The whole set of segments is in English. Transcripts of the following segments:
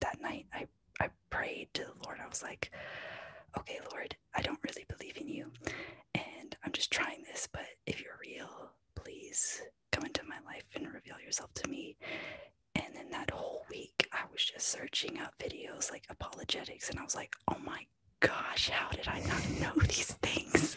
that night I I prayed to the Lord. I was like, okay, Lord, I don't really believe in you. And I'm just trying this, but if you're real, please come into my life and reveal yourself to me. And then that whole week, I was just searching up videos like apologetics, and I was like, oh my gosh, how did I not know these things?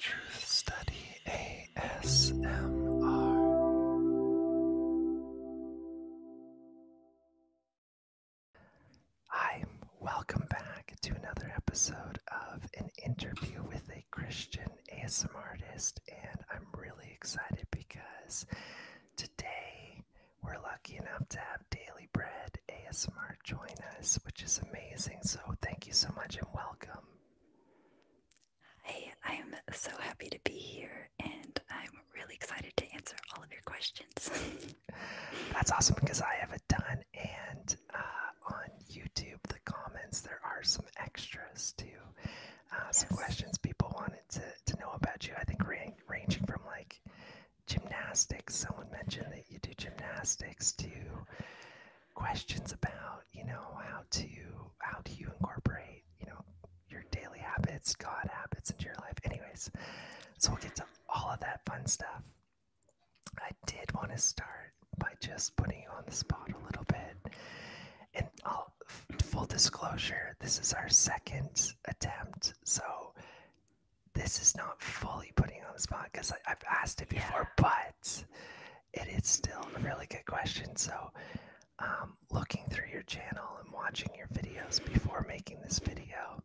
Truth Study ASMR. welcome back to another episode of an interview with a Christian ASMR artist, and I'm really excited because today we're lucky enough to have Daily Bread ASMR join us, which is amazing. So thank you so much and welcome. Hi, I'm so happy to be here and I'm really excited to answer all of your questions. That's awesome because I have a ton and uh, on YouTube, the comments, there are some extras too. Uh, Some questions people wanted to, to know about you. I think ranging from like gymnastics. Someone mentioned that you do gymnastics too. Questions about, you know, how to how do you incorporate, you know, your daily habits, God habits into your life. Anyways, so we'll get to all of that fun stuff. I did want to start by just putting you on the spot a little bit. And i full disclosure, this is our second attempt so this is not fully putting on the spot because I've asked it before, but it is still a really good question. So um, looking through your channel and watching your videos before making this video,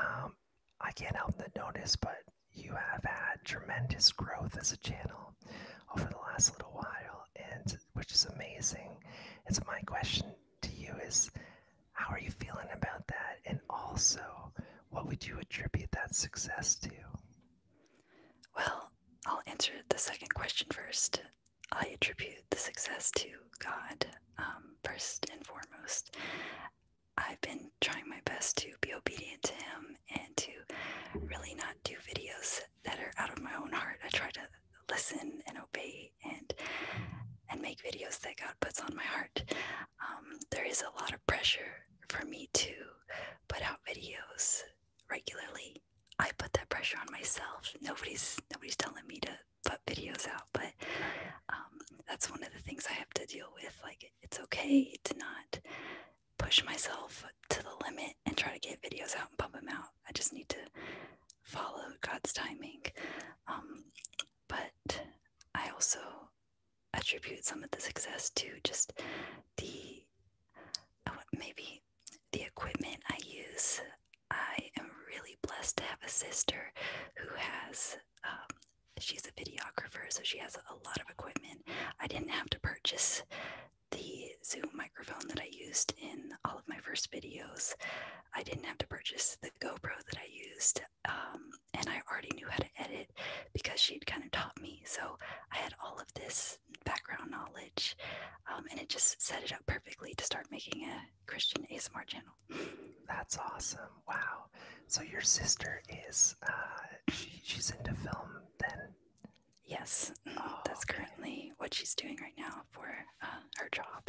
um, I can't help but notice, but you have had tremendous growth as a channel over the last little while, and which is amazing. It's my question to you is how are you feeling about that? And also, what would you attribute that success to? Well, I'll answer the second question first. I attribute the success to God, um, first and foremost. I've been trying my best to be obedient to Him and to really not do videos that are out of my own heart. I try to listen and obey and and make videos that God puts on my heart. Um, there is a lot of pressure for me to put out videos regularly. I put that pressure on myself. Nobody's nobody's telling me to put videos out, but um, that's one of the things I have to deal with. Like it's okay to not push myself to the limit and try to get videos out and pump them out. I just need to follow God's timing. Um, but I also attribute some of the success to just the uh, maybe the equipment I use. I am really blessed to have a sister who has. Um, she's a videographer, so she has a lot of equipment. I didn't have to purchase the Zoom microphone that I used in all of my first videos. I didn't have to purchase the GoPro that I used, um, and I already knew how to edit because she'd kind of taught me. So I had all of this background knowledge, um, and it just set it up perfectly to start making a Christian ASMR channel. That's awesome! Wow. So your sister is uh, she's into film then? Yes, mm-hmm. oh, that's currently what she's doing right now for uh, her job.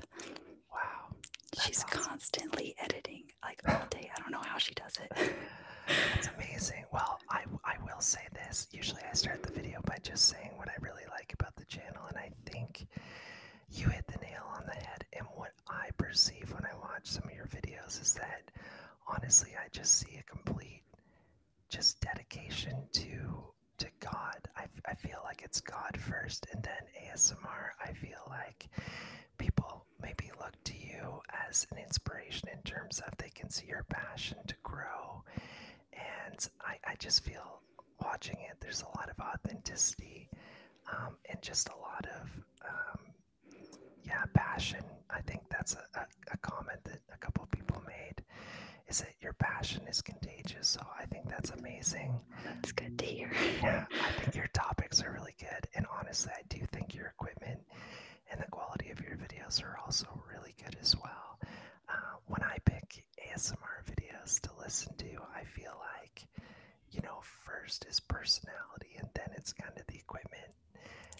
Wow. She's constantly editing like all day. I don't know how she does it. That's amazing. Well, I, I will say this. Usually I start the video by just saying what I really like about the channel, and I think you hit the nail on the head. And what I perceive when I watch some of your videos is that honestly, I just see a complete just dedication to to God. I, I feel like it's God first, and then ASMR. I feel like people maybe look to you as an inspiration in terms of they can see your passion to grow. And I, I just feel watching it, there's a lot of authenticity um, and just a lot of, um, yeah, passion. I think that's a, a comment that a couple people made is that your passion is contagious. So I think that's amazing. That's good to hear. I think your topics are really good. And honestly, I do think your equipment and the quality of your videos are also really good as well. Uh, when I pick ASMR videos to listen to, I feel like, you know, first is personality and then it's kind of the equipment.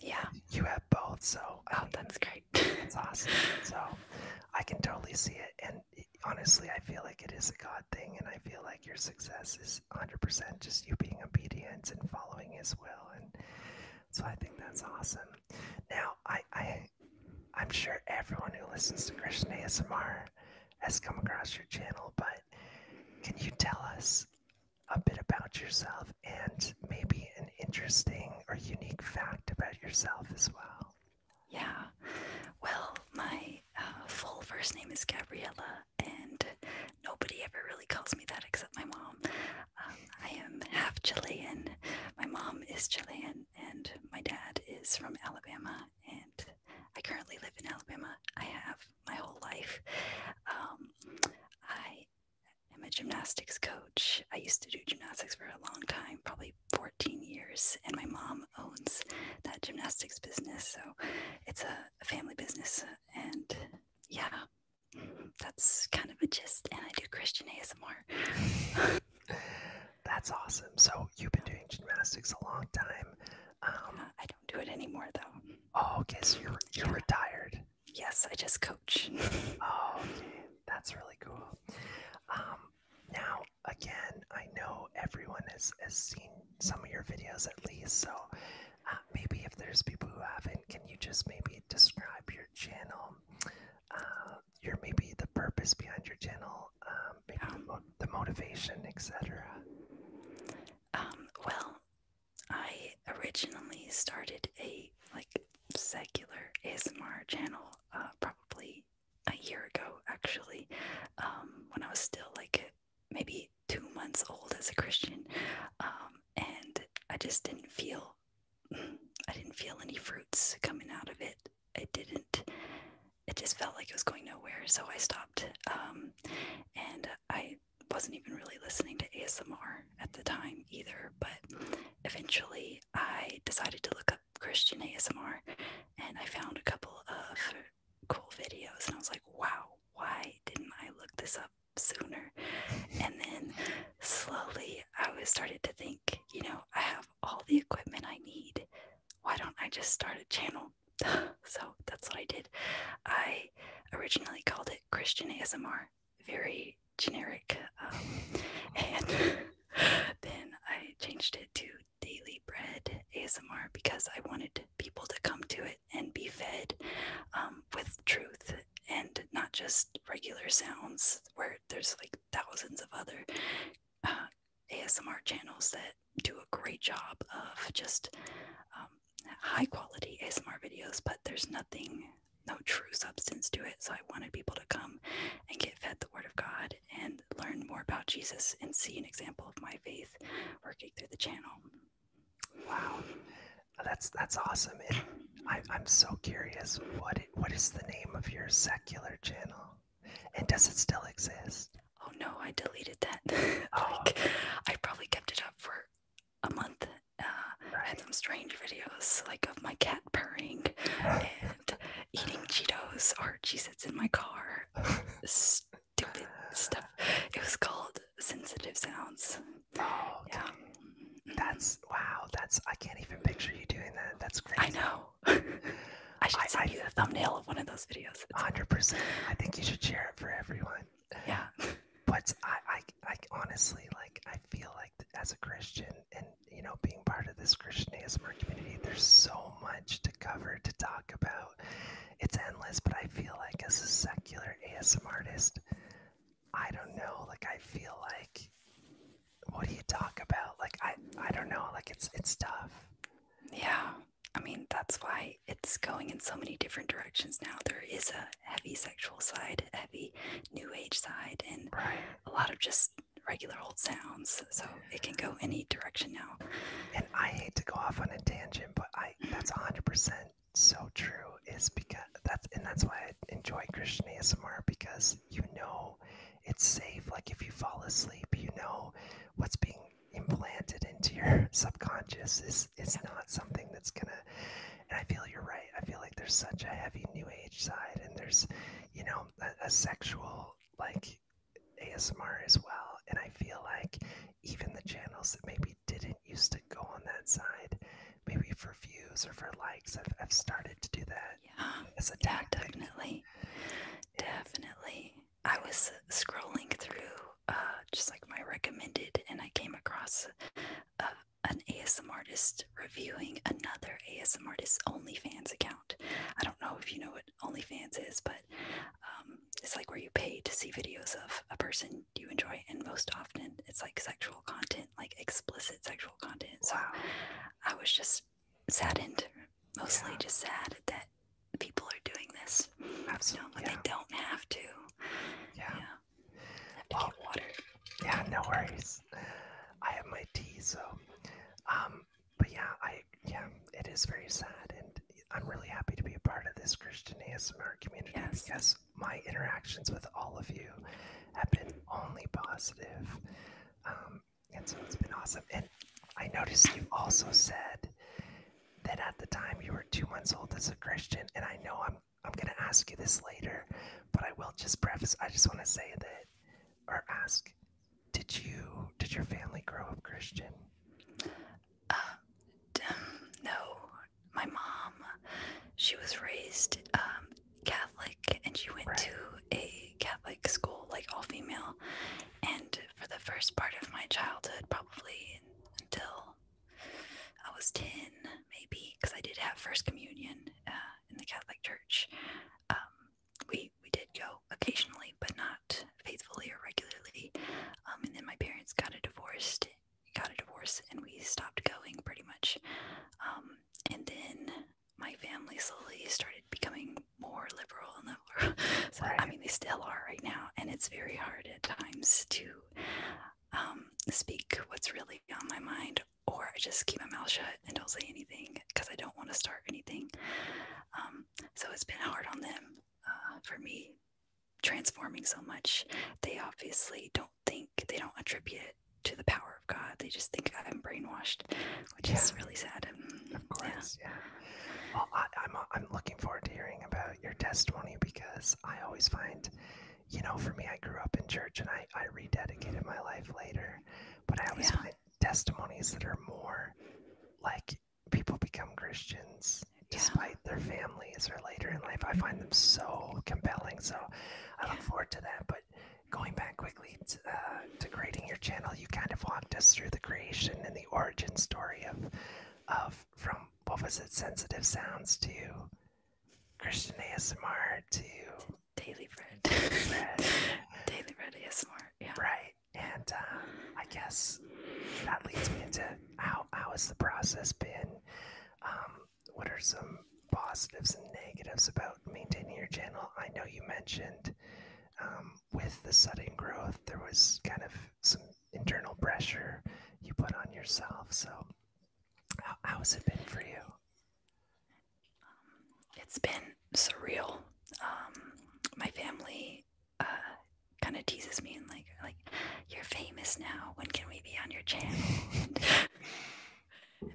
Yeah. You have both. So, oh, that's great. That's awesome. So, I can totally see it. And honestly, I feel like it is a God thing, and I feel like your success is 100% just you being obedient and following His will, and so I think that's awesome. Now, I, I, I'm sure everyone who listens to Christian ASMR has come across your channel, but can you tell us a bit about yourself and maybe an interesting or unique fact about yourself as well? Yeah. Well, my uh, full first name is Gabriella, and nobody ever really calls me that except my mom. Um, I am half Chilean. My mom is Chilean, and my dad is from Alabama, and I currently live in Alabama. I have my whole life. Um, I am a gymnastics coach. I used to do gymnastics for a long time, probably 14 years, and my mom owns that gymnastics business. So it's a, family business. And yeah, that's kind of a gist. And I do Christian ASMR. that's awesome. So you've been doing gymnastics a long time. Um, I don't do it anymore, though. Oh, okay. you're, you're retired. Yes, I just coach. oh, That's really cool. Um, now, again, I know everyone has, has seen some of your videos at least, so uh, maybe if there's people who haven't, can you just maybe describe your channel? Uh, your maybe the purpose behind your channel, um, um. the, motivation, etc. Um, well, I originally started a like secular ASMR channel, uh, probably a year ago actually um, when I was still like maybe two months old as a Christian um, and I just didn't feel I didn't feel any fruits coming out of it it didn't it just felt like it was going nowhere so I stopped um, and I wasn't even really listening to ASMR at the time either but eventually I decided to look up Christian ASMR and I found a couple of cool videos and I was like, wow, why didn't I look this up sooner? And then slowly I was started to think, you know, I have all the equipment I need. Why don't I just start a channel? so that's what I did. I originally called it Christian ASMR, very generic. Um, and then I changed it to Daily Bread ASMR because I wanted people to come to it and be fed um, with truth and not just regular sounds where there's like thousands of other uh, ASMR channels that do a great job of just um, high quality ASMR videos, but there's nothing, no true substance to it. So I wanted people to come and get fed the Word of God and learn more about Jesus and see an example of my faith working through the channel. Wow, that's that's awesome. I, I'm so curious. What what is the name of your secular channel? And does it still exist? Oh no, I deleted that. Oh, I probably kept it up for a month. I uh, had some strange videos, like of my cat purring and eating Cheetos, or she in my car. stupid stuff. It was called sensitive sounds. Oh, yeah. That's wow. That's I can't even picture you doing that. That's great. I know. I should I, send you the thumbnail of one of those videos. Hundred percent. I think you should share it for everyone. Yeah. But I, I, I honestly like I feel like as a Christian and you know being part of this Christian ASMR community, there's so much to cover to talk about it's endless, but I feel like as a secular ASM artist, I don't know. Like I feel like, what do you talk about? Like I, I don't know. Like it's it's tough. Yeah, I mean that's why it's going in so many different directions now. There is a heavy sexual side, heavy new age side, and a lot of just regular old sounds. So it can go any direction now. And I hate to go off on a tangent, but I mm-hmm. that's 100% so true is because that's and that's why I enjoy Christian ASMR because you know it's safe like if you fall asleep, you know what's being implanted into your subconscious is is not something that's going to and I feel you're right. I feel like there's such a heavy new age side and there's you know a, a sexual like ASMR as well. And I feel like even the channels that maybe didn't used to go on that side, maybe for views or for likes, I've, have started to do that yeah. as a yeah, Definitely. Definitely. I was scrolling through uh, just like my recommended, and I came across uh, an ASMR artist reviewing another ASMR artist's OnlyFans account. I don't know if you know what OnlyFans is, but um, it's like where you pay to see videos of a person you enjoy, and most often it's like sexual content, like explicit sexual content. So I was just saddened, mostly just sad that people are doing this. Absolutely, you know, yeah. they don't have to. Yeah, yeah. have to water. Yeah, no worries. I have my tea, so um, but yeah, I yeah, it is very sad, and I'm really happy to be a part of this Christian ASMR community because my interactions with all of you have been only um, and so it's been awesome. And I noticed you also said that at the time you were two months old as a Christian, and I know I'm I'm gonna ask you this later, but I will just preface. I just want to say that or ask did you did your family grow up Christian? Uh, um, no, my mom. She was raised um, Catholic, and she went to a Catholic school, like all female. And for the first part of my childhood, probably until I was ten, maybe, because I did have first communion uh, in the Catholic Church. Um, we we did go occasionally, but not faithfully or regularly. Um, and then my parents got a divorce, got a divorce, and we stopped going pretty much. Um, and then my family slowly started becoming more liberal and liberal. so I mean, they still are right now, and it's very hard at times to um, speak what's really on my mind, or I just keep my mouth shut and don't say anything because I don't want to start anything. so it's been hard on them uh, for me transforming so much. They obviously don't think, they don't attribute it to the power of God. They just think I'm brainwashed, which is really sad. Mm, of course, yeah. Well, I, am uh, I'm, looking forward to hearing about your testimony because I always find, you know, for me, I grew up in church and I, I rededicated my life later, but I always find testimonies that are more like people become Christians despite their families or later in life. I find them so compelling. So I look forward to that. But going back quickly to, uh, creating your channel, you kind of walked us through the creation and the origin story of of from what was it, sensitive sounds to Christian ASMR to daily bread, daily bread, is bread Yeah, right. And uh, I guess that leads me into how how has the process been? Um, what are some positives and negatives about maintaining your channel? I know you mentioned um, with the sudden growth, there was kind of some internal pressure you put on yourself. So, how, how has it been for you? it's been surreal. Um, my family uh, kind of teases me and like like you're famous now. When can we be on your channel?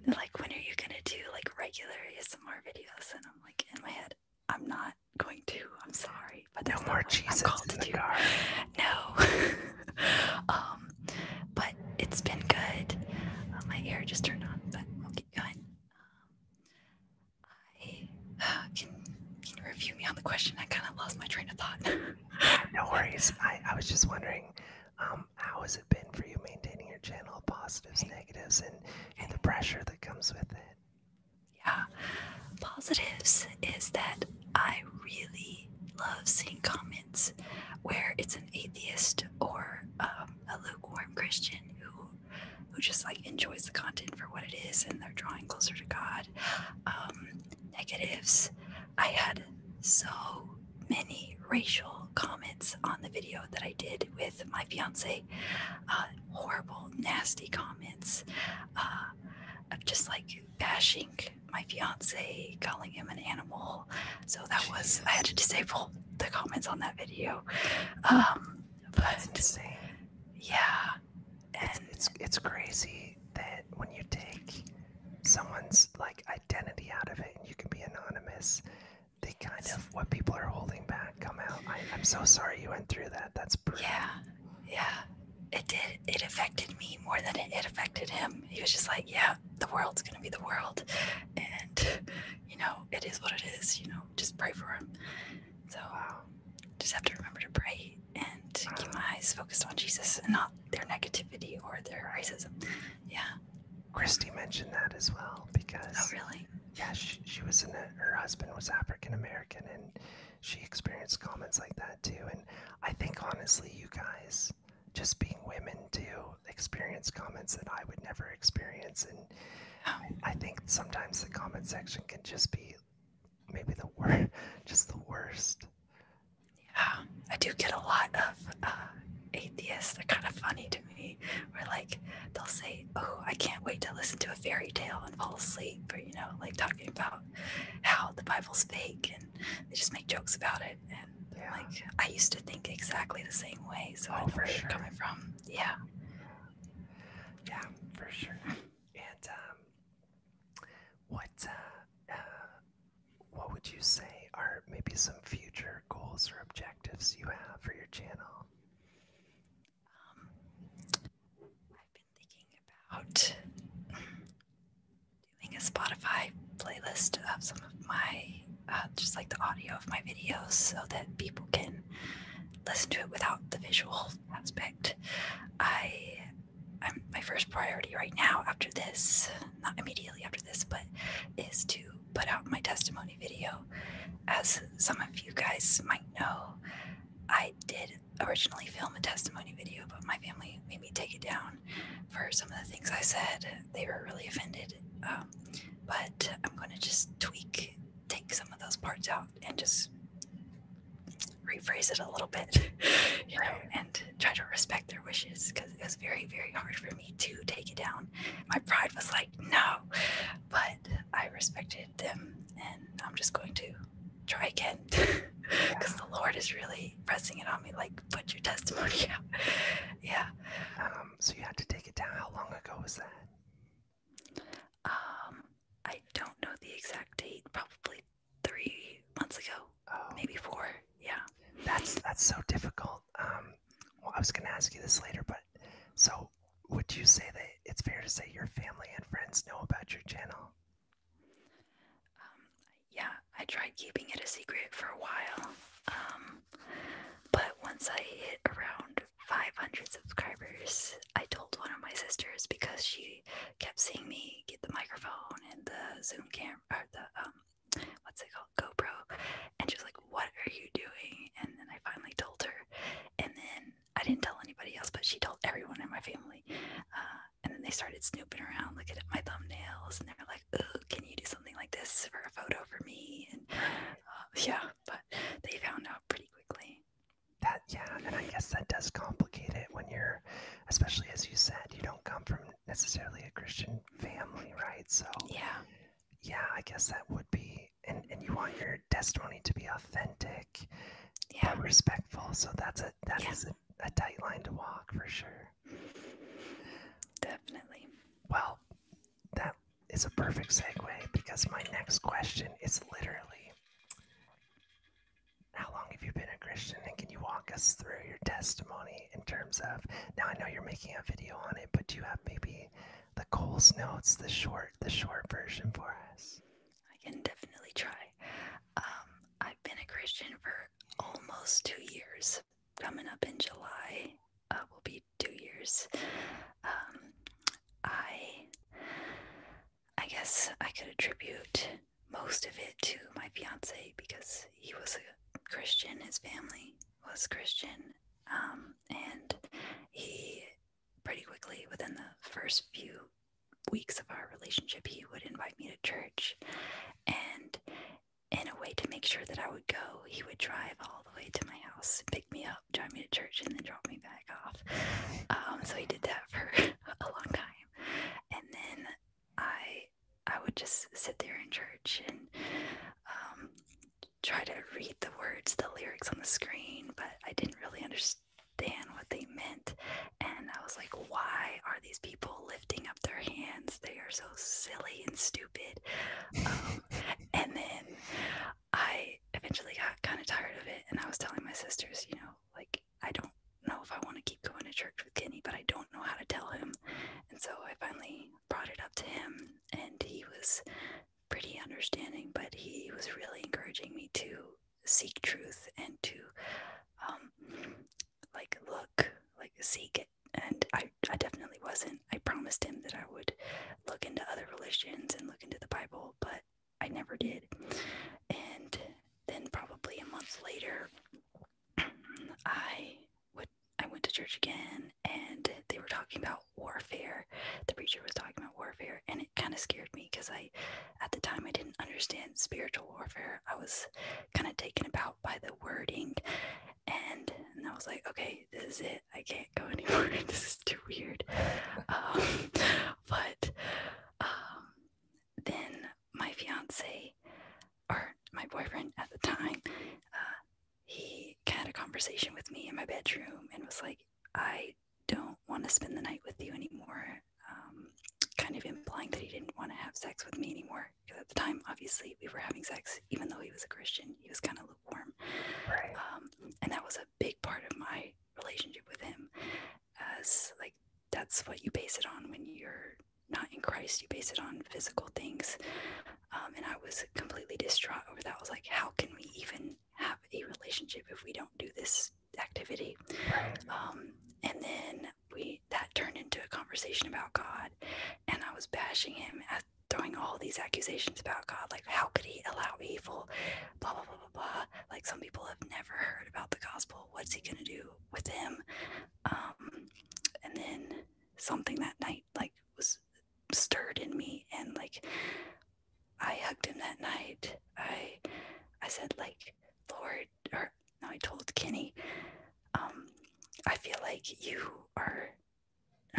And, like, when are you gonna do like regular ASMR videos? And I'm like in my head, I'm not going to. I'm sorry, but no more Jesus in the car. No. um, but it's been good. Uh, my ear just turned on, but I'll keep going. can, can you review me on the question. I kind of lost my train of thought. no worries. I, I was just wondering, um, how has it been for you maintaining your channel, positives, negatives, and, and the pressure that comes with it? Yeah. Positives is that I really love seeing comments where it's an atheist or um, a lukewarm Christian who who just like enjoys the content for what it is and they're drawing closer to God. Um, negatives. I had so many racial comments on the video that I did with my fiance. Uh, horrible, nasty comments uh, of just like bashing my fiance, calling him an animal. So that was, I had to disable the comments on that video. Um, but yeah, and it's, it's crazy that when you take someone's like identity out of it and you can be anonymous, they kind of what people are holding back come out. I, I'm so sorry you went through that. That's brutal. Yeah, yeah. It did. It affected me more than it, it affected him. He was just like, yeah, the world's gonna be the world, and you know, it is what it is. You know, just pray for him. So, wow just have to remember to pray and keep my eyes focused on Jesus and not their negativity or their racism. Yeah. Christy mentioned that as well because. Oh, really? Yeah, she, she was in a, her husband was African American and she experienced comments like that too. And I think honestly, you guys, just being women too, experience comments that I would never experience. And oh. I think sometimes the comment section can just be maybe the worst, just the worst. Yeah, I do get a lot of uh, atheists. They're kind of funny to me. Where like they'll say, "Oh, I can't wait to listen to a fairy tale and fall asleep," or you know, like talking about how the Bible's fake, and they just make jokes about it. And yeah. like I used to think exactly the same way, so oh, I know sure. you're coming from. Yeah. Yeah, for sure. And um, what uh, uh, what would you say are maybe some future goals or objectives you have for your channel? Um, I've been thinking about doing a Spotify playlist of some of my uh, just like the audio of my videos so that people can listen to it without the visual aspect. I, I'm, my first priority right now, after this, not immediately after this, but is to put out my testimony video. As some of you guys might know, I did originally film a testimony video, but my family made me take it down for some of the things I said. They were really offended. Um, but I'm going to just tweak take some of those parts out and just rephrase it a little bit, you know, and try to respect their wishes because it was very, very hard for me to take it down. My pride was like, no, but I respected them and I'm just going to try again because the Lord is really pressing it on me like, put your testimony out. yeah. Um, so you had to take it down. How long ago was that? Um, I don't know the exact date. Probably three months ago, oh. maybe four. Yeah. That's that's so difficult. Um, well, I was going to ask you this later, but so would you say that it's fair to say your family and friends know about your channel? Um, yeah, I tried keeping it a secret for a while. Um, but once I hit around 500 subscribers, I told one of my sisters because she kept seeing me get the microphone and the Zoom camera or the um what's it called GoPro, and she's like, "What are you doing?" And then I finally told her, and then I didn't tell anybody else, but she told everyone in my family, uh, and then they started snooping around, looking at my thumbnails, and they were like, "Oh, can you do something like this for a photo for me?" And uh, yeah, but they found out pretty quickly that yeah and i guess that does complicate it when you're especially as you said you don't come from necessarily a christian family right so yeah yeah i guess that would be and and you want your testimony to be authentic yeah respectful so that's a that is a, a tight line to walk for sure definitely well that is a perfect segue because my next question is literally how long have you been a Christian? And can you walk us through your testimony in terms of now I know you're making a video on it, but do you have maybe the Coles notes, the short the short version for us? I can definitely try. Um, I've been a Christian for almost two years. Coming up in July uh, will be two years. Um, I I guess I could attribute most of it to my fiance because he was a Christian, his family was Christian, um, and he pretty quickly, within the first few weeks of our relationship, he would invite me to church. And in a way to make sure that I would go, he would drive all the way to my house, pick me up, drive me to church, and then drop me back off. Um, so he did that for a long time. And then I I would just sit there in church and um, try to read the words, the lyrics on the screen, but I didn't really understand what they meant. And I was like, why are these people lifting up their hands? They are so silly and stupid. Um, and then I eventually got kind of tired of it. And I was telling my sisters, you know, like, I don't know if I want to keep going to church with Kenny, but I don't know how to tell him. And so I finally brought it up to him, and he was pretty understanding, but he was really encouraging me to seek truth and to, um, like, look, like, seek it. And I, I definitely wasn't. I promised him that I would look into other religions and look into the Bible, but I never did. And then probably a month later, I would I went to church again, and they were talking about warfare. The preacher was talking about warfare, and it kind of scared me because I, at the time, I didn't understand spiritual warfare. I was kind of taken aback by the wording, and and I was like, okay, this is it. I can't go anymore. this is too weird. Um, but um, then my fiance, or my boyfriend at the time, uh, he had a conversation with me in my bedroom and was like, I don't want to spend the night with you anymore. Um, kind of implying that he didn't want to have sex with me anymore. Because at the time, obviously, we were having sex, even though he was a Christian, he was kind of lukewarm. Um, and that was a big part of my relationship with him as like that's what you base it on when you're not in Christ. You base it on physical things. Um, and I was completely distraught over that. I was like, how can we even have a relationship if we don't do this activity? Um, and then we that turned into a conversation about God, and I was bashing him at throwing all these accusations about God, like how could he allow evil, blah blah blah like some people have never heard about the gospel. What's he gonna do with him? Um, and then something that night like was stirred in me, and like I hugged him that night. I I said like Lord, or I told Kenny. Um, I feel like you are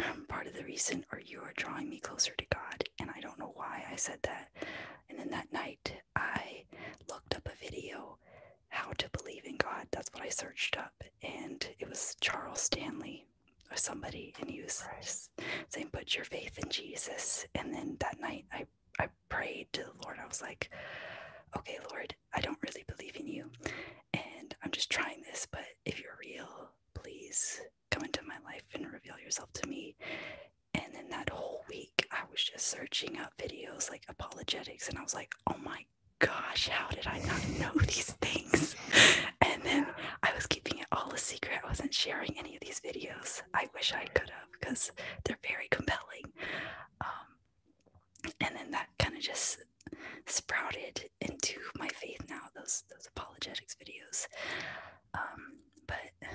um, part of the reason, or you are drawing me closer to God, and I don't know why I said that. And then that night, I looked up a video, How to Believe in God. That's what I searched up. And it was Charles Stanley or somebody. And he was saying, Put your faith in Jesus. And then that night, I, I prayed to the Lord. I was like, Okay, Lord, I don't really believe in you. And I'm just trying this. But if you're real, please come into my life and reveal yourself to me and then that whole week I was just searching up videos like apologetics and I was like, oh my gosh, how did I not know these things? And then I was keeping it all a secret. I wasn't sharing any of these videos. I wish I could have because they're very compelling. Um, and then that kind of just sprouted into my faith now, those those apologetics videos. Um, but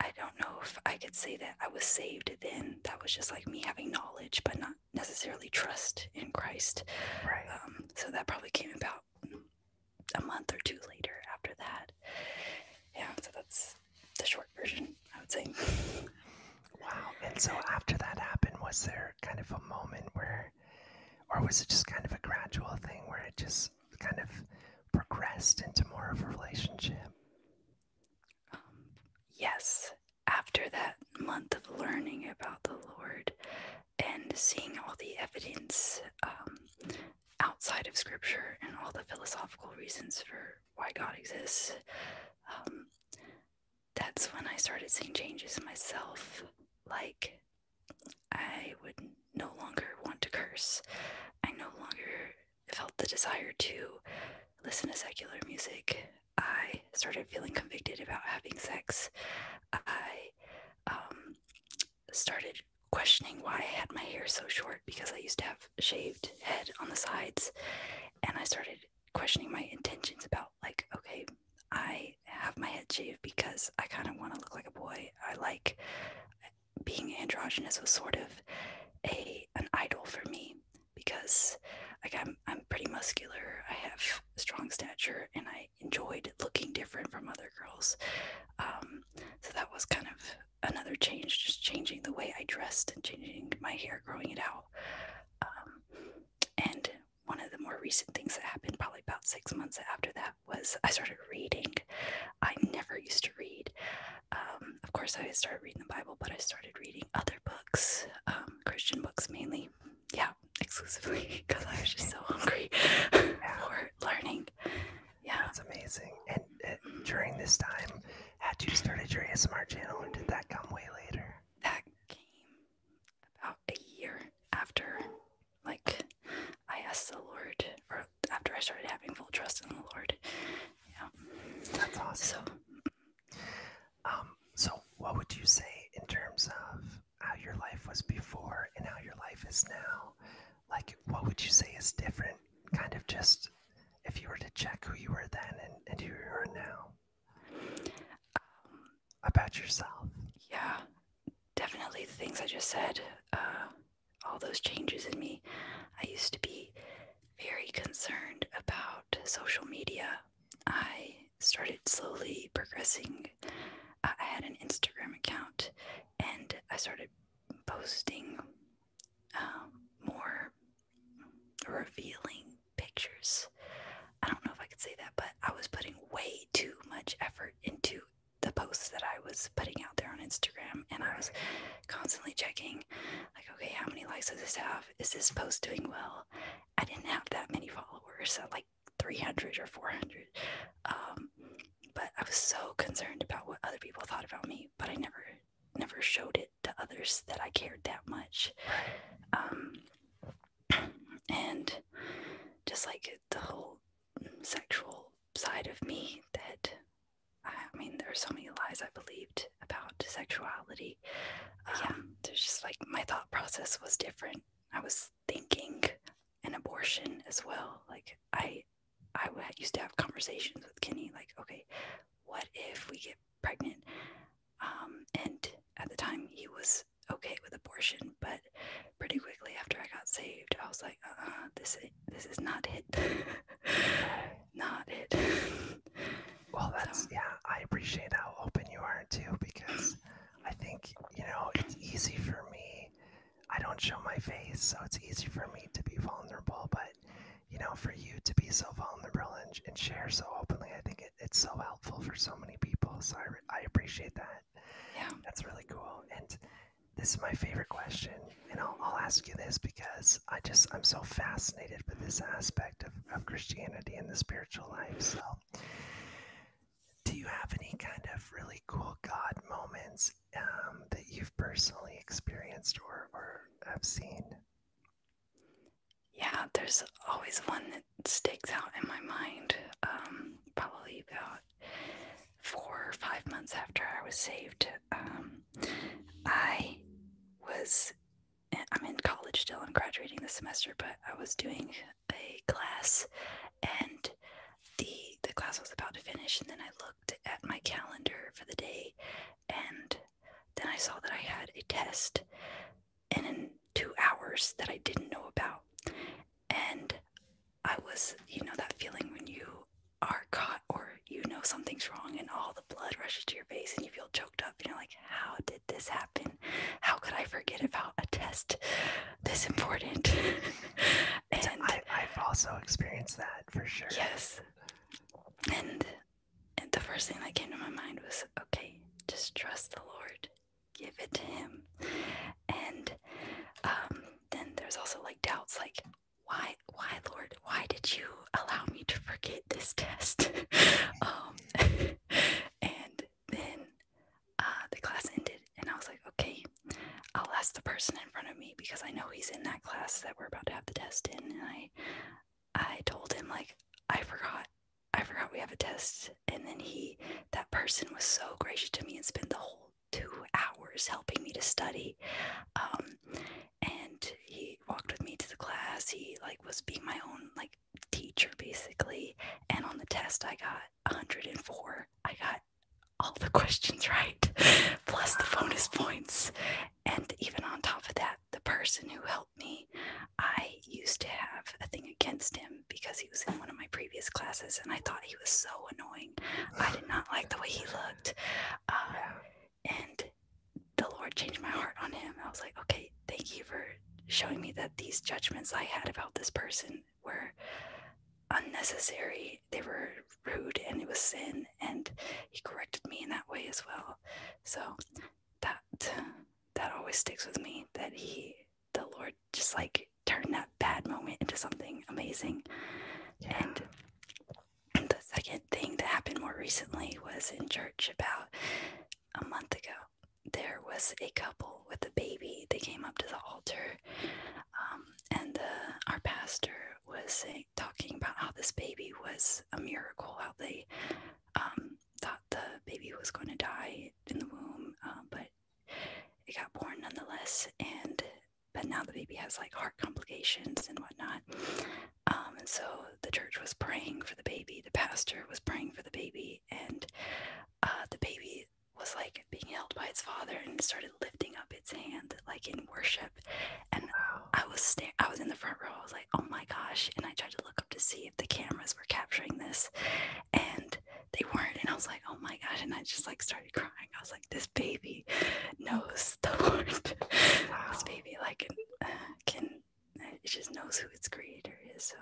I don't know if I could say that I was saved then. That was just like me having knowledge, but not necessarily trust in Christ. Right. Um, so that probably came about a month or two later after that. Yeah, so that's the short version, I would say. Wow. And so after that happened, was there kind of a moment where, or was it just kind of a gradual thing where it just kind of progressed into more of a relationship? Um, yes. After that month of learning about the Lord and seeing all the evidence um, outside of Scripture and all the philosophical reasons for why God exists, um, that's when I started seeing changes in myself. Like, I would no longer want to curse. I no longer felt the desire to listen to secular music. I started feeling convicted about having sex. I um, started questioning why I had my hair so short because I used to have shaved head on the sides. And I started questioning my intentions about, like, okay, I have my head shaved because I kind of want to look like a boy. I like being androgynous was sort of a an idol for me because like I'm I'm pretty muscular, I have strong stature, and I enjoyed looking different from other girls. Um, so that was kind of another change, just changing the way I dressed and changing my hair, growing it out. Um, and one of the more recent things that happened, probably about six months after that, was I started reading. I never used to read. Um, of course, I started reading the Bible, but I started reading other books, um, Christian books mainly. Yeah, exclusively because I was just so hungry yeah. for learning. Yeah, that's amazing. And uh, during this time, had you started your ASMR channel, or did that come way later? That came about a year after, like I asked the Lord, or after I started having full trust in the Lord. Yeah. That's awesome. So, um, so what would you say in terms of how your life was before and how your life is now? Like, what would you say is different? Kind of just if you were to check who you were then and, and who you are now um, about yourself. Yeah, definitely the things I just said. Uh, all those changes in me. I used to be very concerned about social media. I started slowly progressing. Uh, I had an Instagram account and I started posting um, more revealing pictures. I don't know if I could say that, but I was putting way too much effort into the posts that I was putting out there on Instagram, and I was constantly checking, like, okay, how many likes does this have? Is this post doing well? I didn't have that many followers, like 300 or 400. Um, but I was so concerned about what other people thought about me, but I never, never showed it to others that I cared that much. Um, and just like the whole sexual side of me that I mean, there are so many lies I believed about sexuality. yeah, um, there's just like my thought process was different. I was thinking an abortion as well. Like I, I used to have conversations with Kenny, like, okay, what if we get pregnant? Um, and at the time, he was okay with abortion, but pretty quickly after I got saved, I was like, uh, uh this this is not it. not it. well, that's yeah. I appreciate how open you are too, because I think you know it's easy for me. I don't show my face, so it's easy for me to be vulnerable. But you know, for you to be so vulnerable and, share so openly, I think it's so helpful for so many people. So I, I appreciate that. Yeah, that's really cool. And this is my favorite question, and I'll, I'll ask you this because I just I'm so fascinated with this aspect of, of Christianity and the spiritual life. So, do you have any kind of really cool God moments um, that you've personally experienced or, or have seen? Yeah, there's always one that sticks out in my mind. Um, probably about four or five months after I was saved, um, I was, I'm in college still, I'm graduating this semester, but I was doing a class and the, the class was about to finish, and then I looked at my calendar for the day, and then I saw that I had a test and in two hours that I didn't know about. And I was, you know, that feeling when you are caught or you know something's wrong and all the blood rushes to your face and you feel choked up and you're like how did this happen how could i forget about a test this important and I, i've also experienced that for sure yes and, and the first thing that came to my mind was okay just trust the lord give it to him and um, then there's also like doubts like why why lord why did you allow me to forget this test um, and then uh, the class ended and i was like okay i'll ask the person in front of me because i know he's in that class that we're about to have the test in and i i told him like i forgot i forgot we have a test and then he that person was so gracious to me and spent the whole two hours helping me to study um, and he walked with me to the class he like was being my own like teacher basically and on the test i got 104 i got all the questions right plus the bonus points and even on top of that the person who helped me i used to have a thing against him because he was in one of my previous classes and i thought he was so annoying i did not like the way he looked uh, and the Lord changed my heart on him. I was like, okay, thank you for showing me that these judgments I had about this person were unnecessary, they were rude, and it was sin. And He corrected me in that way as well. So that that always sticks with me. That He, the Lord, just like turned that bad moment into something amazing. And the second thing that happened more recently was in church about a month ago. There was a couple with a baby. They came up to the altar, um, and uh, our pastor was talking about how this baby was a miracle, how they um, thought the baby was going to die in the womb, uh, but it got born nonetheless. And but now the baby has like heart complications and whatnot. Um, and so the church was praying for the baby, the pastor was praying for the baby, and uh, the baby was like being held by its father and started lifting up its hand like in worship. And I was sta- I was in the front row. I was like, "Oh my gosh!" And I tried to look up to see if the cameras were capturing this, and they weren't. And I was like, "Oh my gosh!" And I just like started crying. I was like this baby knows the Lord. this baby like can, uh, can uh, it just knows who its creator is. So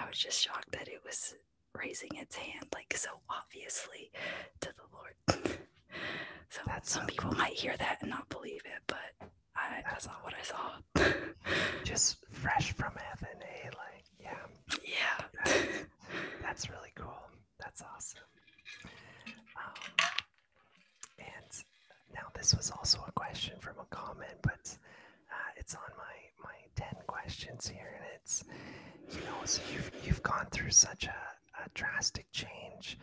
I was just shocked that it was raising its hand like so obviously to the Lord. so that some people might hear that and not believe it, but I, that's not what I saw. just fresh from heaven, eh? Like, yeah. Yeah. That's, really cool. That's awesome. Um, and now this was also a question from a comment, but uh, it's on my my ten questions here, and it's you know so you've you've gone through such a, drastic change.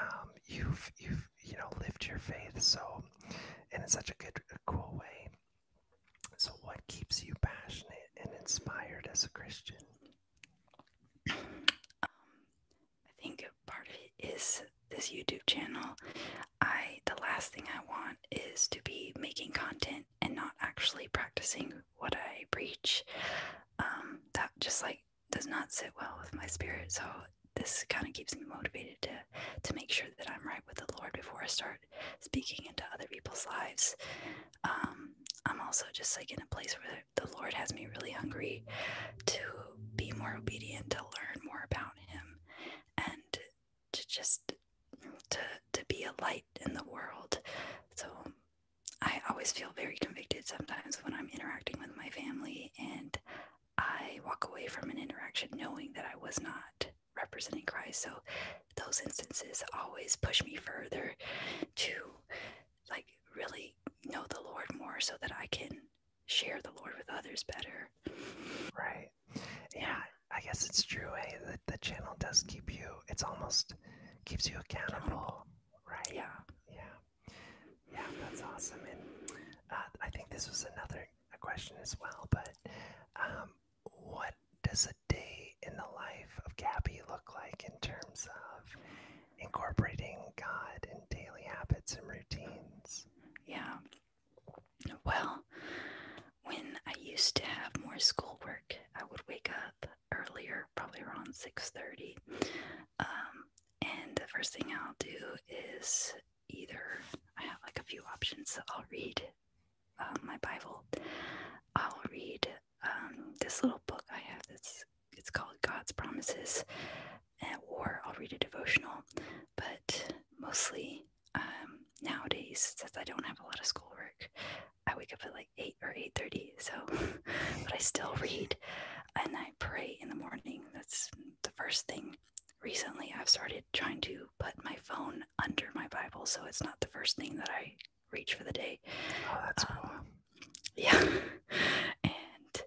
Um, you've you've you know lived your faith so and in such a good cool way. So what keeps you passionate and inspired as a Christian? Um, I think part of it is this YouTube channel. I the last thing I want is to be making content and not actually practicing what I preach. Um, that just like does not sit well with my spirit. So this kind of keeps me motivated to to make sure that I'm right with the Lord before I start speaking into other people's lives. Um, I'm also just like in a place where the Lord has me really hungry to be more obedient, to learn more about Him, and to just to to be a light in the world. So I always feel very convicted sometimes when I'm interacting with my family, and I walk away from an interaction knowing that I was not representing Christ. So those instances always push me further to like really know the Lord more so that I can share the Lord with others better. Right. Yeah, I guess it's true. Hey, eh? the, the channel does keep you, it's almost keeps you accountable. Right. Yeah. Yeah. Yeah, that's awesome. And uh, I think this was another question as well, but um, what does a day in the life of Gabby look like in terms of incorporating God in daily habits and routines. Yeah. Well, when I used to have more schoolwork, I would wake up earlier, probably around 6:30. Um, and the first thing I'll do is either I have like a few options. I'll read um, my Bible. I'll read um, this little book I have that's it's called God's Promises, or I'll read a devotional. But mostly um, nowadays, since I don't have a lot of schoolwork, I wake up at like eight or eight thirty. So, but I still read, and I pray in the morning. That's the first thing. Recently, I've started trying to put my phone under my Bible, so it's not the first thing that I reach for the day. Oh, that's um, cool yeah. And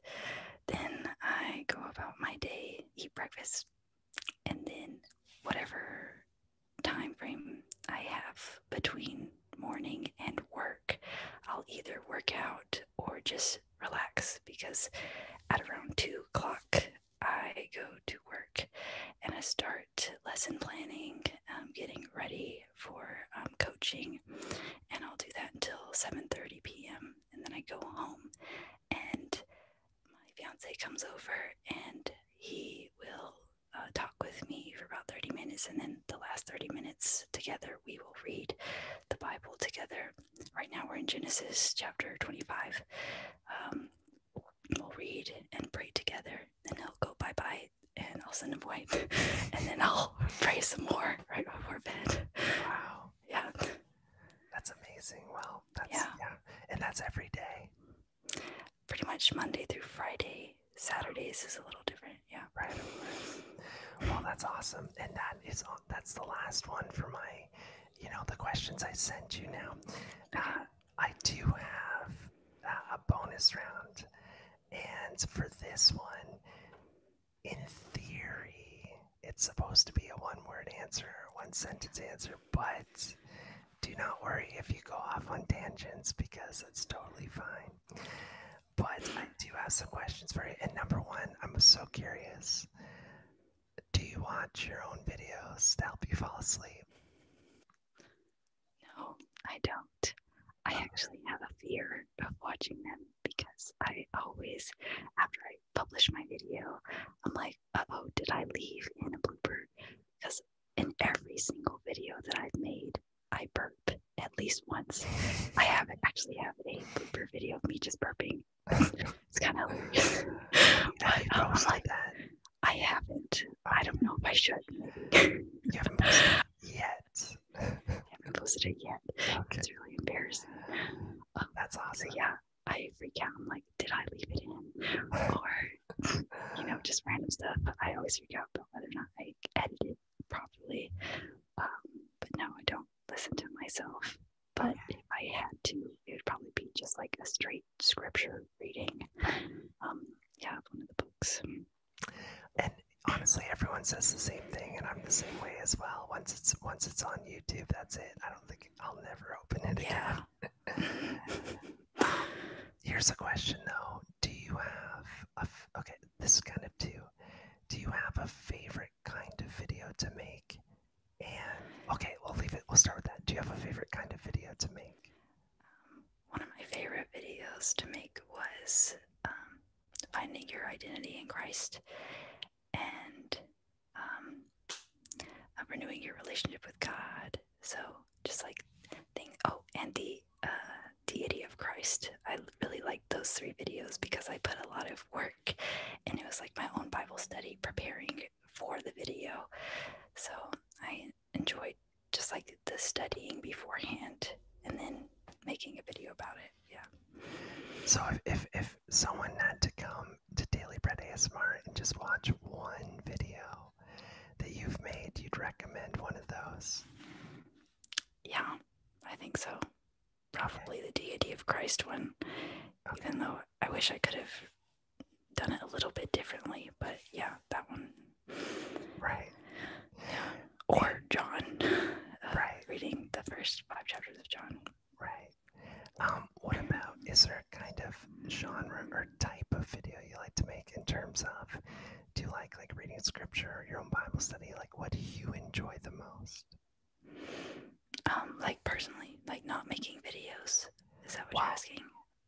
then I go about my day, eat breakfast, and then whatever time frame I have between morning and work, I'll either work out or just relax because at around two o'clock I go to work and I start lesson planning, um, getting ready for um, coaching, and I'll do that until 7:30 p.m. and then I go home, and my fiance comes over and he will uh, talk with me for about 30 minutes, and then the last 30 minutes together we will read the Bible together. Right now we're in Genesis chapter 25. Um, we'll read and pray together, and he'll go bye bye and I'll send him away. and then I'll pray some more right before bed. Wow. Yeah. That's amazing. Well, that's yeah. And that's every day. Pretty much Monday through Friday. Saturdays is a little different. Yeah. Right. Well, that's awesome. And that is that's the last one for my you know, the questions I sent you now. Uh, I do have a bonus round. And for this one, in theory, it's supposed to be a one word answer, one sentence answer, but do not worry if you go off on tangents because it's totally fine. But I do have some questions for you. And number one, I'm so curious do you watch your own videos to help you fall asleep? No, I don't. I actually have a fear of watching them because I always, after I publish my video, I'm like, uh oh, did I leave in a blooper? Because in every single video that I've made, I burp at least once. I have not actually have a blooper video of me just burping. it's kind of hilarious. but, um, I'm like, that. I haven't. I don't know if I should. you haven't done posted yet. I haven't posted it yet. It's really embarrassing. Oh, That's awesome. yeah, I freak out. like, did I leave it in? Or, you know, just random stuff. I always freak out about whether or not I edited properly. Um, but no, I don't listen to myself. But if I had to, it would probably be just like a straight scripture reading. Um, yeah, one of the books and honestly everyone says the same thing and i'm the same way as well once it's once it's on youtube that's it i don't think i'll never open it yeah. again here's a question though do you have a? okay this is kind of two do you have a favorite kind of video to make and okay we'll leave it we'll start with that do you have a favorite kind of video to make um, one of my favorite videos to make was um, finding your identity in Christ and um, renewing your relationship with God. So just like thing. Oh, and the uh, deity of Christ. I really liked those three videos because I put a lot of work, and it was like my own Bible study preparing for the video. So I enjoyed just like the studying beforehand and then making a video about it. Yeah. So if, if, if someone had to come to Daily Bread ASMR and just watch one video that you've made, you'd recommend one of those. Yeah, I think so. Probably the Deity of Christ one. Even though I wish I could have done it a little bit differently, but yeah, that one. Right. Yeah or John. Uh, right. Reading the first five chapters of John. Right. Um, what about is there a kind of genre or type of video you like to make in terms of do you like like reading scripture or your own Bible study? Like what do you enjoy the most? Um, like personally, like not making videos. Is that what you're asking?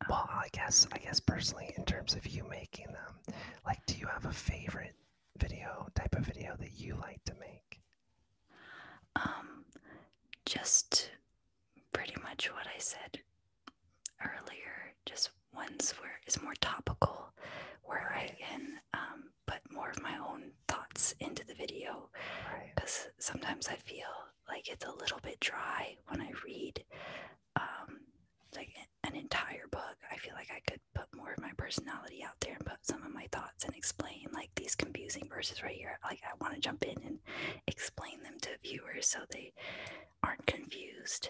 well, um, I guess I guess personally in terms of you making them, like do you have a favorite video type of video that you like to make? Um, just pretty much what I said earlier. Just ones where it's more topical, where I can um, put more of my own thoughts into the video. Because sometimes I feel like it's a little bit dry when I read um, like an entire book. I feel like I could put more of my personality out there and put some of my thoughts and explain like these confusing verses right here. Like I want to jump in and explain them to viewers so they aren't confused.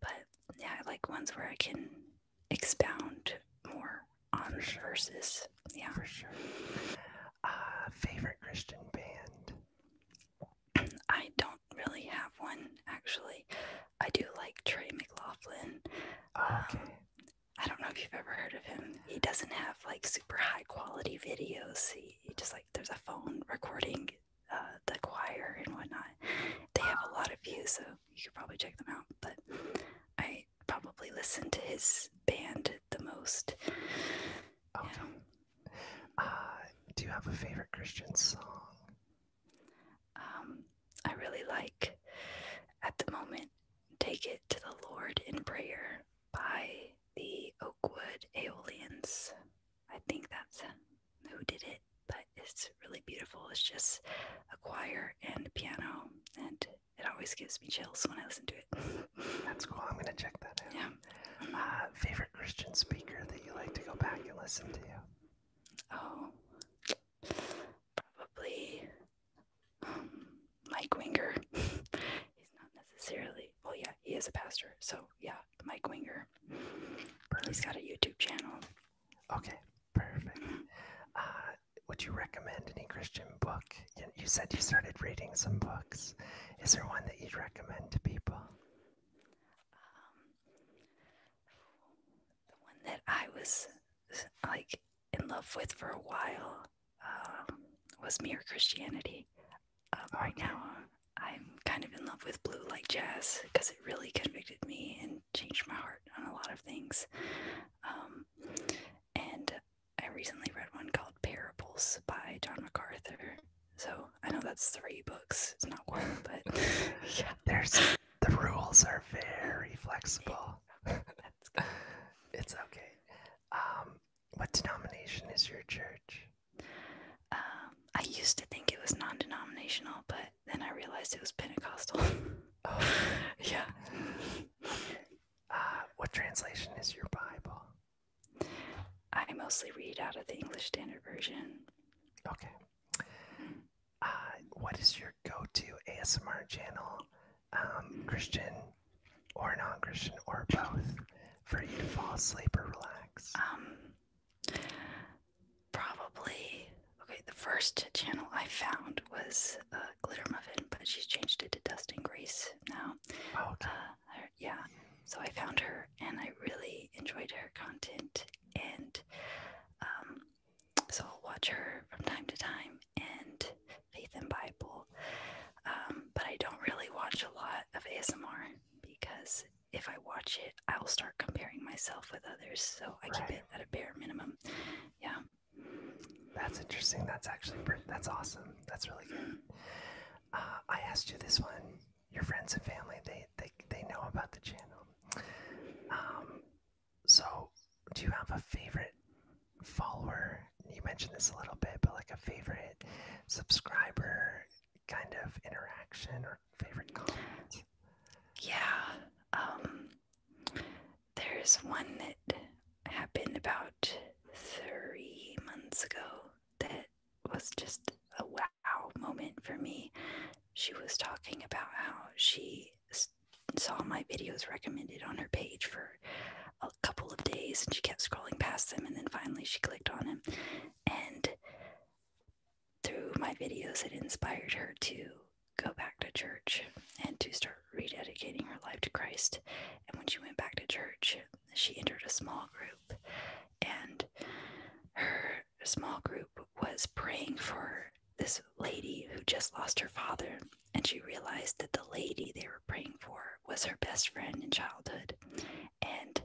But yeah, I like ones where I can expound more on verses. Yeah. For sure. Uh, favorite Christian band? I don't really have one actually. I do like Trey McLaughlin. Okay. I don't know if you've ever heard of him. He doesn't have like super high quality videos. He, just like there's a phone recording uh, the choir and whatnot. They have a lot of views, so you could probably check them out. But I probably listen to his band the most. Okay. Uh, do you have a favorite Christian song? Um, I really like at the moment Take It to the Lord in Prayer by the Oakwood Aeolians. I think that's who did it, but it's really beautiful. It's just a choir and piano, and it always gives me chills when I listen to it. that's cool. I'm going to check that out. Yeah. Uh, favorite Christian speaker that you like to go back and listen to? Oh, probably um, Mike Winger. He's not necessarily, Well, oh yeah, he is a pastor. So, yeah, Mike Winger. Perfect. He's got a YouTube channel. Okay, perfect. Uh, would you recommend any Christian book? You, said you started reading some books. Is there one that you'd recommend to people? Um, the one that I was like in love with for a while um, was Mere Christianity. Um, right now, I'm kind of in love with Blue light Jazz because it really convicted me and changed my heart on a lot of things. Um, and I recently read one called Parables by John MacArthur. So I know that's three books. It's not one, but yeah. There's the rules are very flexible. It's okay. Um, what denomination is your church? Um, I used to think it was non denominational, but then I realized it was Pentecostal. oh, yeah. Uh, what translation is your Bible? I mostly read out of the English Standard Version. Okay uh, what is your go-to ASMR channel, um, Christian or non-Christian or both, for you to fall asleep or relax? Um, probably. Okay, the first channel I found was uh, Glitter Muffin, but she's changed it to Dust and Grease now. Oh, uh, yeah. So I found her, and I really enjoyed her content, and um, so I'll watch her from time to time and Faith and Bible. Um, but I don't really watch a lot of ASMR because if I watch it, I will start comparing myself with others. So I keep it at a bare minimum. Yeah. That's interesting. That's actually that's awesome. That's really good. Mm-hmm. Uh, I asked you this one. Your friends and family they they, they know about the channel. Um, so, do you have a favorite follower? You mentioned this a little bit, but like a favorite subscriber kind of interaction or favorite comment? Yeah. Um, there's one that happened about three months ago that was just a wow moment for me. She was talking about how she saw my videos recommended on her page for a couple of days and she kept scrolling past them and then finally she clicked on them. and through my videos it inspired her to go back to church and to start rededicating her life to Christ and when she went back to church she entered a small group and her small group was praying for this lady who just lost her father, and she realized that the lady they were praying for was her best friend in childhood. And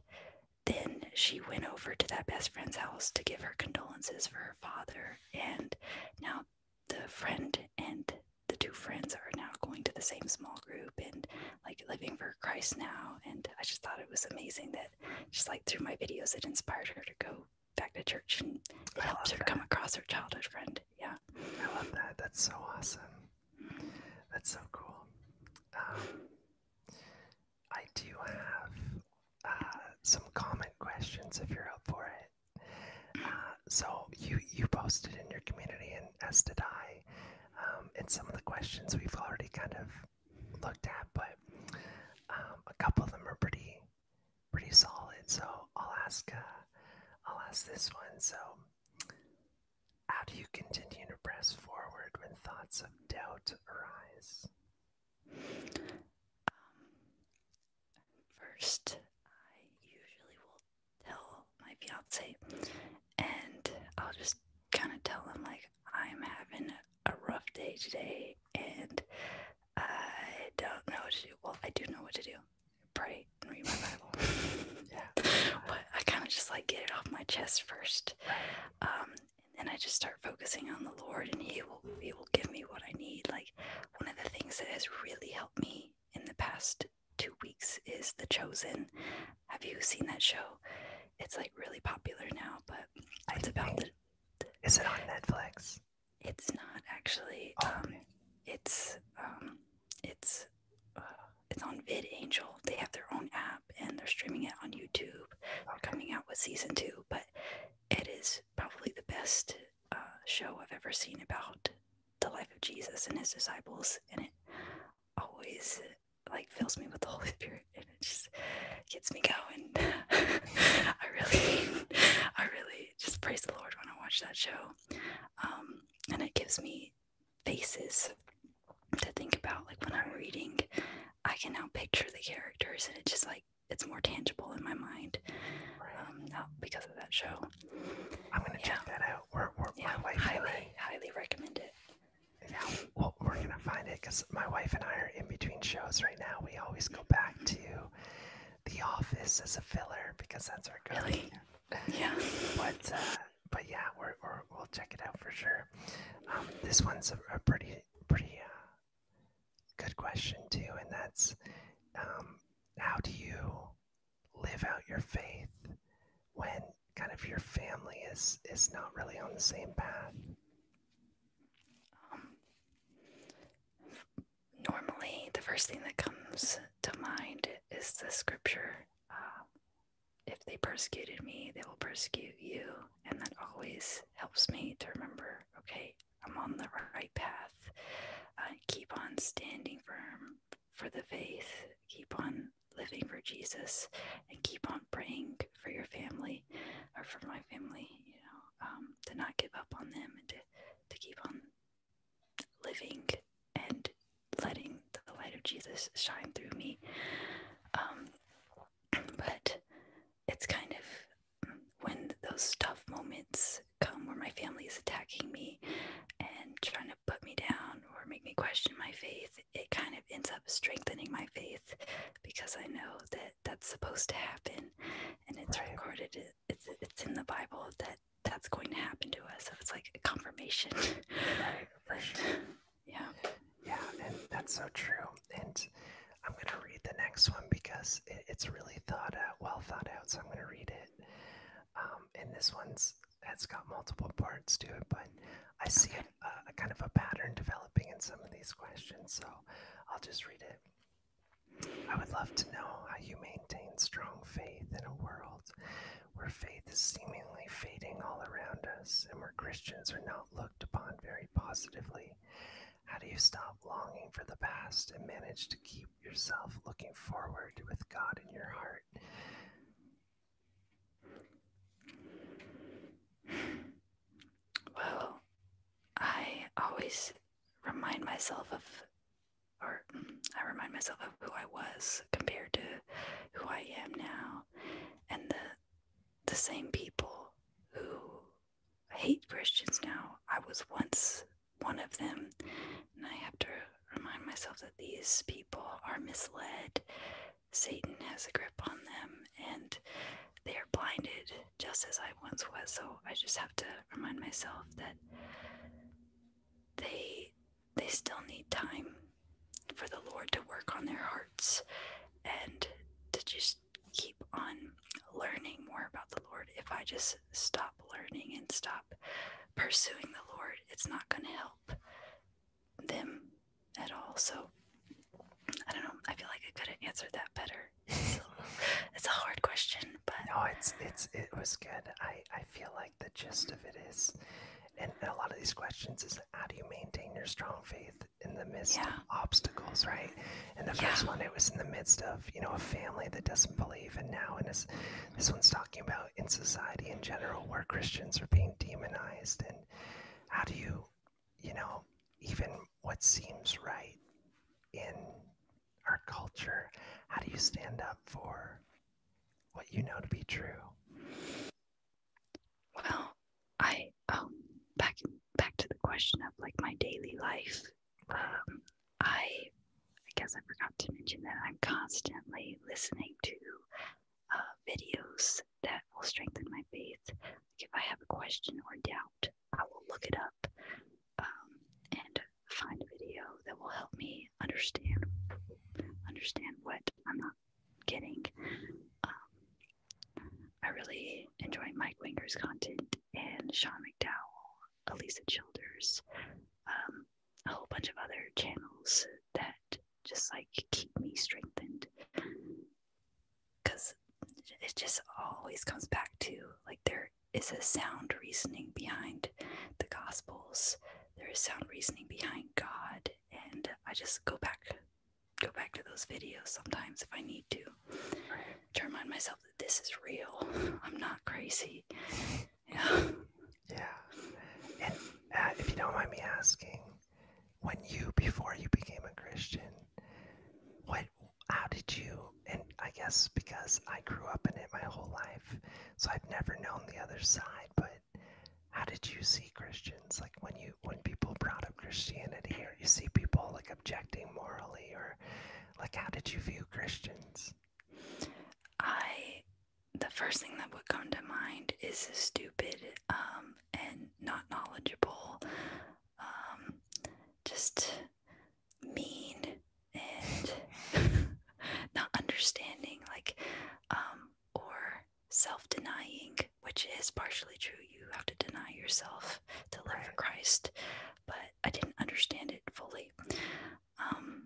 then she went over to that best friend's house to give her condolences for her father. And now the friend and the two friends are now going to the same small group and like living for Christ now. And I just thought it was amazing that just like through my videos, it inspired her to go back to church and it helps her come across her childhood friend. Yeah. I love that. That's so awesome. That's so cool. Um, I do have uh, some comment questions if you're up for it. Uh, so you you posted in your community, and as did I. and um, some of the questions we've already kind of looked at, but um, a couple of them are pretty pretty solid. So I'll ask, uh, I'll ask this one. So, how do you continue to press forward when thoughts of doubt arise? Um, first, I usually will tell my fiance, and I'll just kind of tell him like I'm having a rough day today, and I don't know what to do. Well, I do know what to do. Pray and read my Bible. yeah. But I kind of just like get it off my chest first. Um, and I just start focusing on the Lord and He will He will give me what I need. Like one of the things that has really helped me in the past two weeks is The Chosen. Have you seen that show? It's like really popular now, but it's about Is it on Netflix? It's not actually. Oh, um, it's um, it's uh, it's on VidAngel. They have their own app and they're streaming it on YouTube. they coming out with season two, but it is probably the best uh, show I've ever seen about the life of Jesus and his disciples, and it always like fills me with the Holy Spirit, and it just gets me going. I really, I really just praise the Lord when I watch that show. Um, and it gives me faces to think about. Like when I'm reading, I can now picture the characters, and it just like it's more tangible in my mind. Um, because of that show. I'm gonna check that out. We're, we're my wife highly, highly recommend it. Yeah, well, we're gonna find it because my wife and I are in between shows right now. We always go back mm-hmm. to the Office as a filler because that's our goal. Really? Yeah. but uh, but yeah, we're, we will check it out for sure. Um, this one's a, pretty pretty uh, good question too, and that's um, how do you live out your faith when kind of your family is is not really on the same path? Um, normally the first thing that comes to mind is the scripture um, if they persecuted me they will persecute you and that always helps me to remember okay i'm on the right path uh, keep on standing firm for the faith keep on living for jesus and keep on praying for your family or for my family you know um, to not give up on them and to, to keep on living and letting the light of Jesus shine through me. Um, but it's kind of when those tough moments come where my family is attacking me and trying to put me down or make me question my faith, it kind of ends up strengthening my faith because I know that that's supposed to happen and it's recorded it's, it's in the Bible that that's going to happen to us. So it's like a confirmation. Right, Yeah. Yeah, that's so true. And I'm going to read the next one because it's really thought out, well thought out. So I'm going to read it. Um, and this one's it's got multiple parts to it, but I see a kind of a pattern developing in some of these questions. So I'll just read it. I would love to know how you maintain strong faith in a world where faith is seemingly fading all around us and where Christians are not looked upon very positively. How do you stop longing for the past and manage to keep yourself looking forward with God in your heart? Well, I always remind myself of or I remind myself of who I was compared to who I am now, and the the same people who hate Christians now. I was once one of them, and I have to remind myself that these people are misled. Satan has a grip on them, and they are blinded just as I once was. So I just have to remind myself that they they still need time for the Lord to work on their hearts and to just keep on learning more about the Lord. If I just stop learning and stop pursuing the Lord, it's not going to help them at all. So I don't know. I feel like I could have answered that better it's a hard question, but oh, it's it's it was good. I I feel like the gist of it is, and a lot of these questions is how do you maintain your strong faith in the midst of obstacles, right? And the first one, it was in the midst of you know a family that doesn't believe, and now and this this one's talking about in society in general where Christians are being demonized, and how do you, you know, even what seems right in our culture? How do you stand up for what you know to be true? Well, I oh back back to the question of like my daily life. Um, I I guess I forgot to mention that I'm constantly listening to uh, videos that will strengthen my faith. Like if I have a question or doubt, I will look it up um, and find a video that will help me understand understand what I'm not getting. Um, I really enjoy Mike Winger's content and Sean McDowell, Elisa Childers, um, a whole bunch of other channels that just like keep me strengthened because it just always comes back to like their is a sound reasoning behind the Gospels. There is sound reasoning behind God, and I just go back, go back to those videos sometimes if I need to, to remind myself that this is real. I'm not crazy. Yeah. Yeah. And uh, if you don't mind me asking, when you before you became a Christian, what? How did you? and I guess because I grew up in it my whole life, so I've never known the other side. But how did you see Christians? Like when you when people brought up Christianity, or you see people like objecting morally, or like how did you view Christians? I the first thing that would come to mind is stupid um, and not knowledgeable, um, just mean and not understanding, like, um, or self denying, which is partially true. You have to deny yourself to live right. for Christ, but I didn't understand it fully. Um,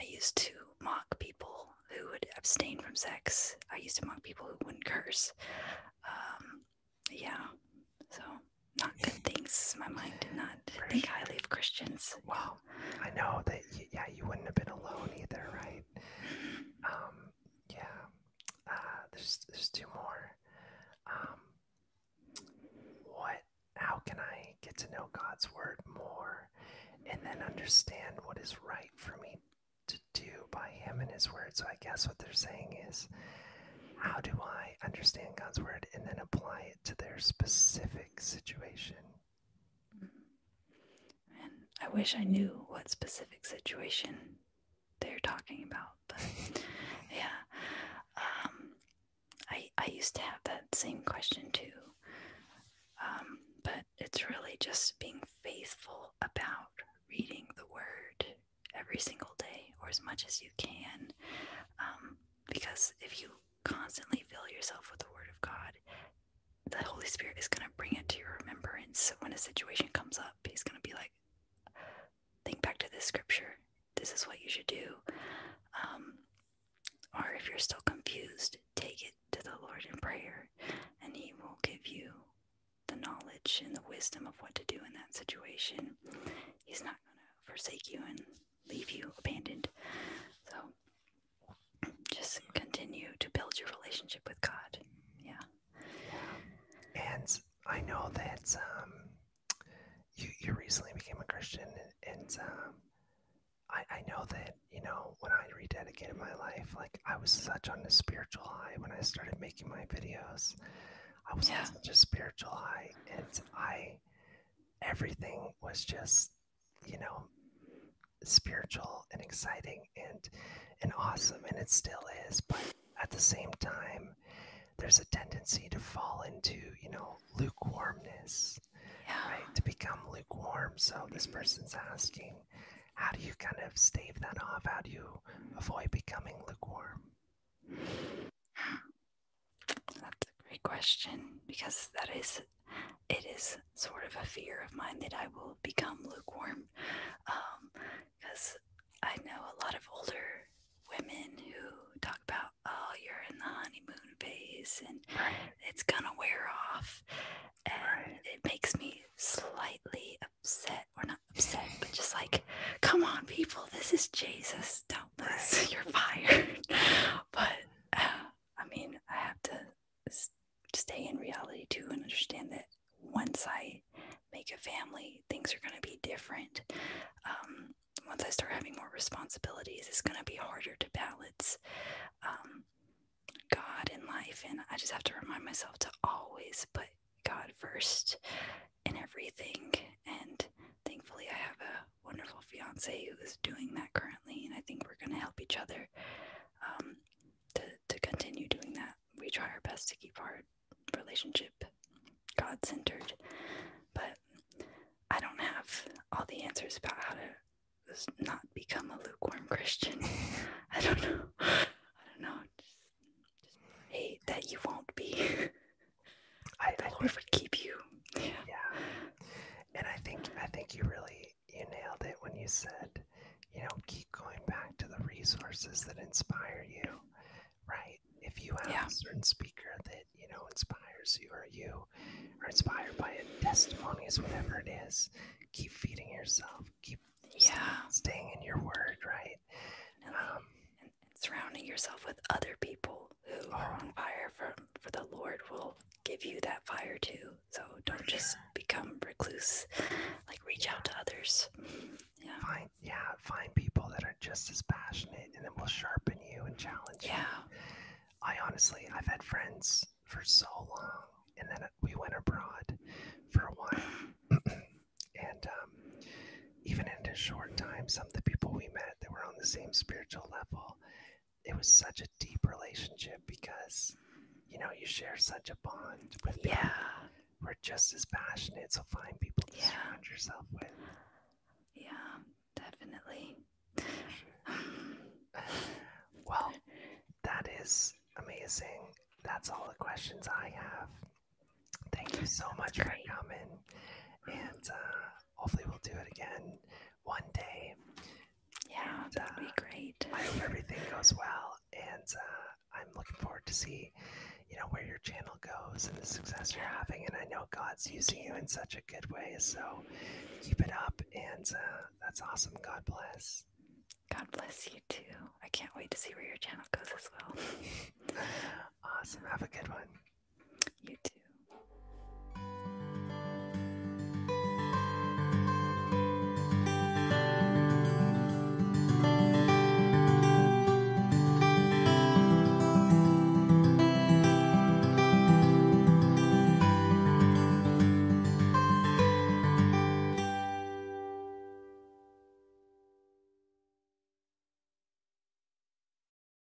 I used to mock people who would abstain from sex. I used to mock people who wouldn't curse. Um, yeah, so not good things. My mind did not Christian. think highly of Christians. Well, I know that. yeah, you wouldn't have been alone either, right? Mm-hmm. Um, yeah. Uh, there's there's two more. Um, what? How can I get to know God's word more, and then understand what is right for me to do by Him and His word? So I guess what they're saying is, how do I understand God's word and then apply it? to their specific situation. Mm-hmm. And I wish I knew what specific situation they're talking about, but yeah. Um, I, I used to have that same question too. Um, but it's really just being faithful about reading the word every single day or as much as you can. Um, because if you constantly fill yourself with the Word of God, the Holy Spirit is going to bring it to your remembrance. So when a situation comes up, He's going to be like, think back to this scripture. This is what you should do. Um, or if you're still confused, take it to the Lord in prayer, and He will give you the knowledge and the wisdom of what to do in that situation. He's not going to forsake you and leave you abandoned. So just continue to build your relationship with God. Yeah. And I know that um, you you recently became a Christian, and um, I I know that you know when I rededicated my life, like I was such on a spiritual high when I started making my videos. I was yeah. such a spiritual high, and I everything was just, you know, spiritual and exciting and and awesome and it still is, but at the same time there's a tendency to fall into, you know, lukewarmness. Right? To become lukewarm. So this person's asking, how do you kind of stave that off? How do you avoid becoming lukewarm? That's a great question because that is it is sort of a fear of mine that I will become lukewarm because um, I know a lot of older women who talk about oh you're in the honeymoon phase and it's gonna wear off and it makes me slightly upset We're not upset but just like come on people this is Jesus you're fired. but uh, I mean, I have to stay in reality too and understand that once I make a family, things are going to be different. Um, once I start having more responsibilities, it's going to be harder to balance um, God in life. And I just have to remind myself to always put God first in everything and thankfully, I have a wonderful fiance who is doing that currently, and I think we're going to help each other um, to, to continue doing that. We try our best to keep our relationship God centered, but I don't have all the answers about how to not become a lukewarm Christian. I don't know. I don't know. Just, just that you won't be. I, the I would keep you. Yeah. And I think I think you really you nailed it when you said, you know, keep going back to the resources that inspire you. Right? If you have a certain speaker that, you know, inspires you or you are inspired by it, testimonies, whatever it is, keep feeding yourself, keep yeah. staying in your word, right? Um, and surrounding yourself with other people who are oh. on fire for, for the Lord will give you that fire too. So don't just become recluse. Like reach out to others. Yeah. Find yeah, find people that are just as passionate and then will sharpen you and challenge yeah. I honestly I've had friends for so long and then we went abroad for a while. and um, even in a short time, the people we met that were on the same spiritual level, it was such a deep relationship because you know you share such a bond yeah. We're just as passionate, so find people to yeah. surround yourself with. Yeah, definitely. well, that is amazing. That's all the questions I have. Thank you so much for coming. And uh, hopefully we'll do it again one day. Yeah, that'd be uh, great. I hope everything goes well, and uh, I'm looking forward to see, you know, where your channel goes and the success you're having. And I know God's using you in such a good way, so keep it up. And uh, that's awesome. God bless. God bless you too. I can't wait to see where your channel goes as well. awesome. Have a good one. You too.